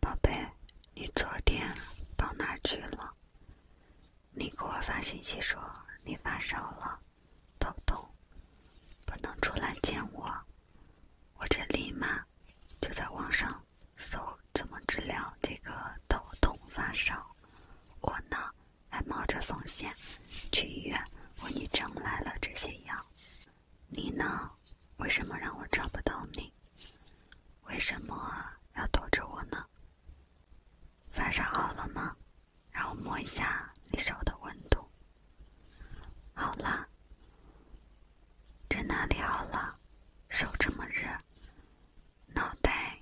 宝贝，你昨天到哪儿去了？你给我发信息说你发烧了，头痛，不能出来见我。我这立马就在网上搜怎么治疗这个头痛发烧。我呢还冒着风险去医院为你整来了这些药。你呢？为什么让我找不到你？为什么要躲着我呢？发烧好了吗？让我摸一下你手的温度。好了。这哪里好了？手这么热，脑袋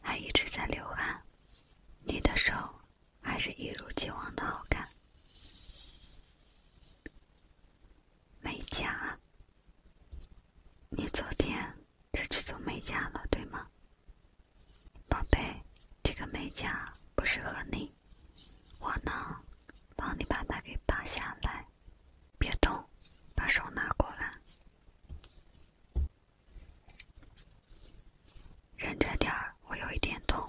还一直在流汗。你的手还是一如既往的好看。美甲，你昨天是去做美甲了对吗，宝贝？这个美甲不适合你，我呢，帮你把它给拔下来，别动，把手拿过来，忍着点儿，我有一点痛。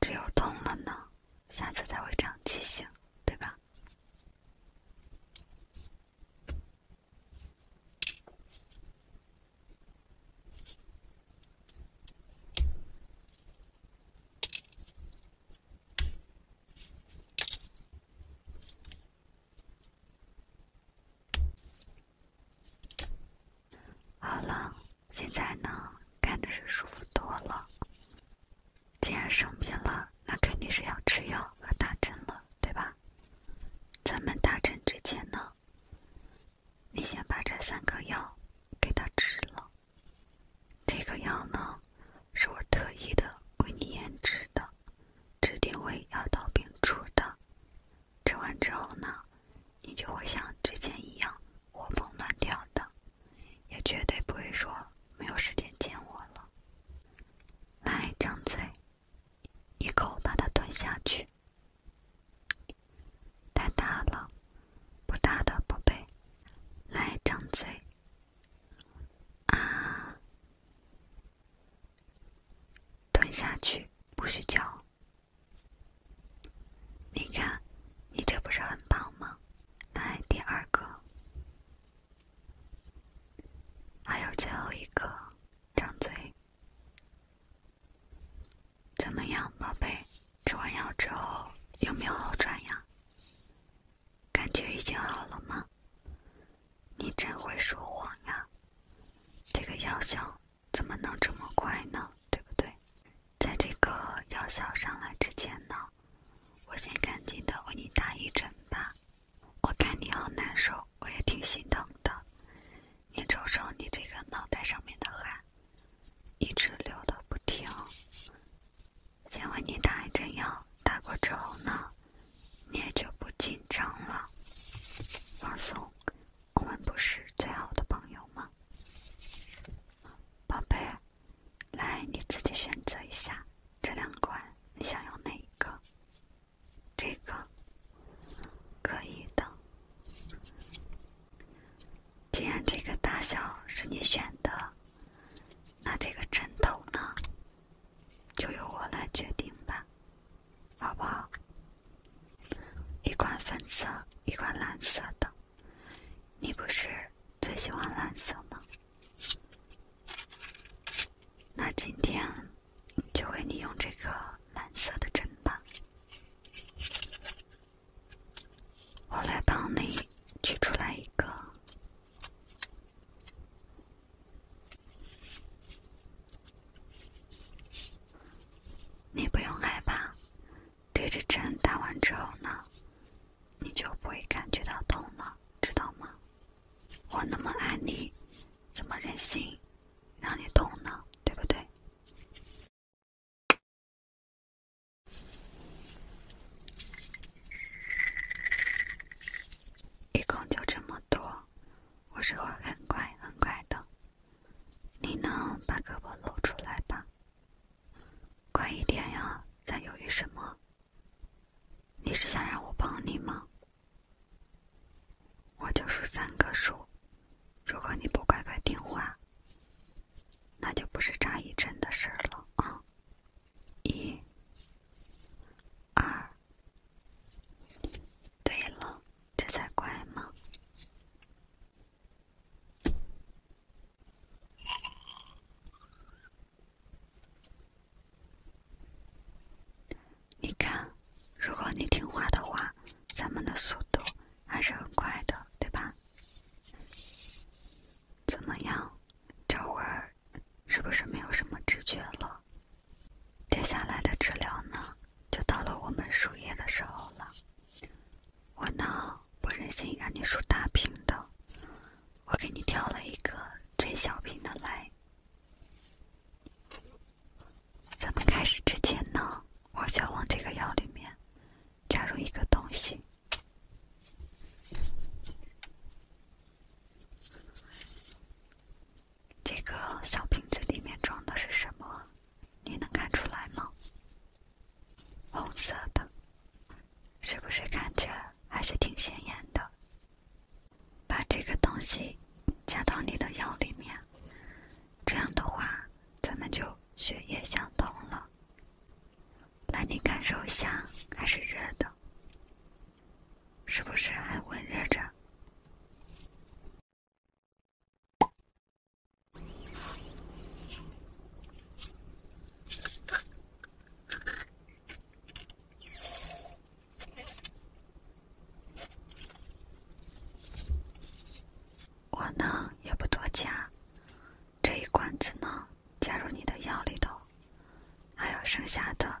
只有痛了呢，下次才会长记性，对吧？好了。现在呢，看着是舒服多了。既然生病了，那肯定是要吃药和打针了，对吧？咱们打针之前呢，你先把这三个药给他吃了。这个药呢，是我特意的为你研制的，指定为药到病除的。吃完之后呢？你就会像之前一样活蹦乱跳的，也绝对不会说没有时间见我了。来，张嘴，一口把它吞下去。太大了，不大的宝贝，来，张嘴，啊，吞下去，不许叫。你看，你这不是很棒吗？来第二个，还有最后一个，张嘴。怎么样，宝贝？吃完药之后有没有好转呀？感觉已经好了吗？你真会说谎呀！这个药效。怎么能这么快呢？对不对？在这个药效上来之前呢，我先赶紧的为你打一针吧。我看你好难受，我也挺心疼的。你瞅瞅你这个脑袋上面的汗，一直流的不停。先为你打一针药，打过之后呢，你也就不紧张了，放松。我们不是最好的朋友吗，宝贝？来，你自己选择一下，这两款你想要哪一个？这个可以的。既然这个大小是你选的，那这个枕头呢，就由我来决定吧，好不好？一款粉色，一款蓝色的。你不是最喜欢蓝色吗？那今天就为你用这个蓝色的针吧。我来帮你取出来一个。你不用害怕，这支针打完之后呢，你就不会感觉到痛了，知道吗？我那么爱你，怎么忍心让你痛呢？对不对？一共就这么多，我是会很乖很乖的。你能把胳膊露出来吧？乖一点呀，在犹豫什么？你是想让我帮你吗？我就数三个数，如果你不乖乖听话，那就不是扎一针的事儿了啊！一、二，对了。这才乖吗？你看，如果你听话的话，咱们的速度还是很快的，对吧？怎么样，这会儿是不是没有什么知觉了？接下来的治疗呢，就到了我们输液的时候了。我呢，不忍心让你输大瓶的，我给你挑了一个最小瓶的来。咱们开始之前呢，我想往这个药里面加入一个东西。这个小瓶子里面装的是什么？你能看出来吗？红色的，是不是看着还是挺显眼的？把这个东西加到你的药里面，这样的话咱们就血液相通了。那你感受一下，还是热的。是不是还温热着？我呢也不多加，这一罐子呢加入你的药里头，还有剩下的。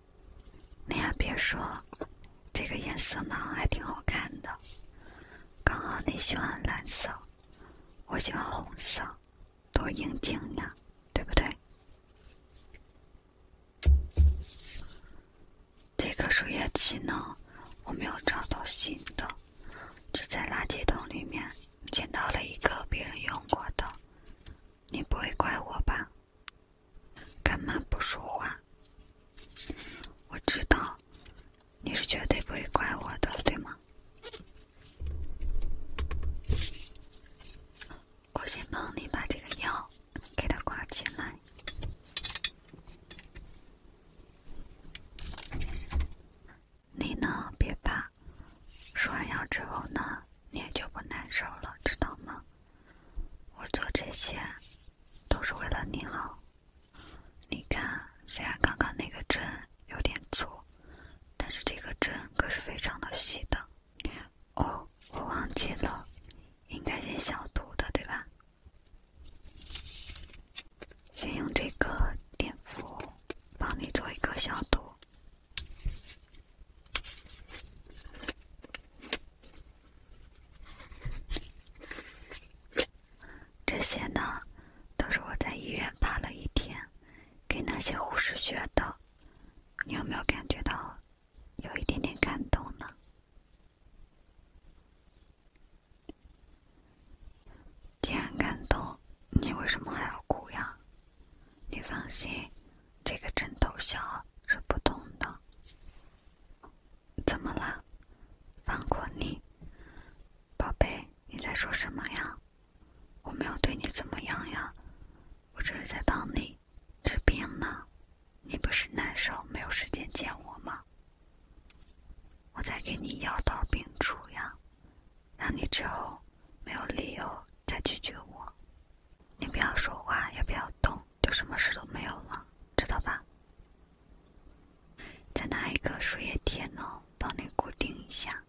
你还别说，这个颜色呢还挺好看的，刚好你喜欢蓝色，我喜欢红色，多应景呀，对不对？这个输液器呢，我没有找到新的，只在垃圾桶里面捡到了一个别人用过的，你不会怪我吧？干嘛不说话？我知道，你是绝对不会怪我的，对吗？我先帮你把这个药给它挂起来。你呢，别怕。输完药之后呢，你也就不难受了，知道吗？我做这些都是为了你好。你看，虽然刚刚那个针有点粗，但是这个针可是非常的细的。哦，我忘记了，应该先消毒的，对吧？先用这个碘伏帮你做一个消毒。这些呢，都是我在医院趴了一天，给那些护士学的。你有没有感觉到，有一点点感动呢？既然感动，你为什么还要哭呀？你放心，这个枕头小是不痛的。怎么了？放过你，宝贝？你在说什么呀？我没有对你怎么样呀？我这是在帮你治病呢。你不是难受，没有时间见我吗？我在给你药到病除呀，让你之后没有理由再拒绝我。你不要说话，也不要动，就什么事都没有了，知道吧？再拿一个树叶贴呢，帮你固定一下。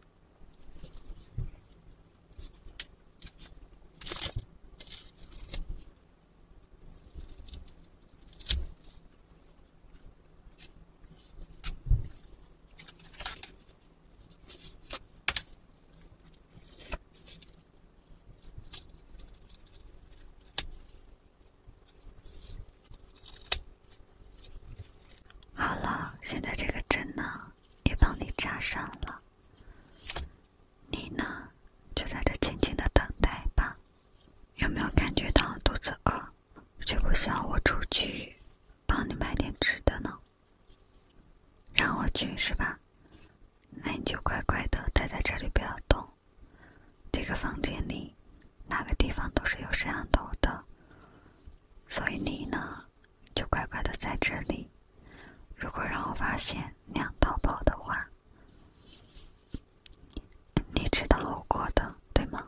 好了，现在这个针呢，也帮你扎上了。你呢，就在这静静的等待吧。有没有感觉到肚子饿？需不需要我出去，帮你买点吃的呢？让我去是吧？那你就乖乖的待在这里，不要动。这个房间里，哪个地方都是有摄像头的。所以你呢，就乖乖的在这里。如果让我发现你俩逃跑的话，你知道后果的，对吗？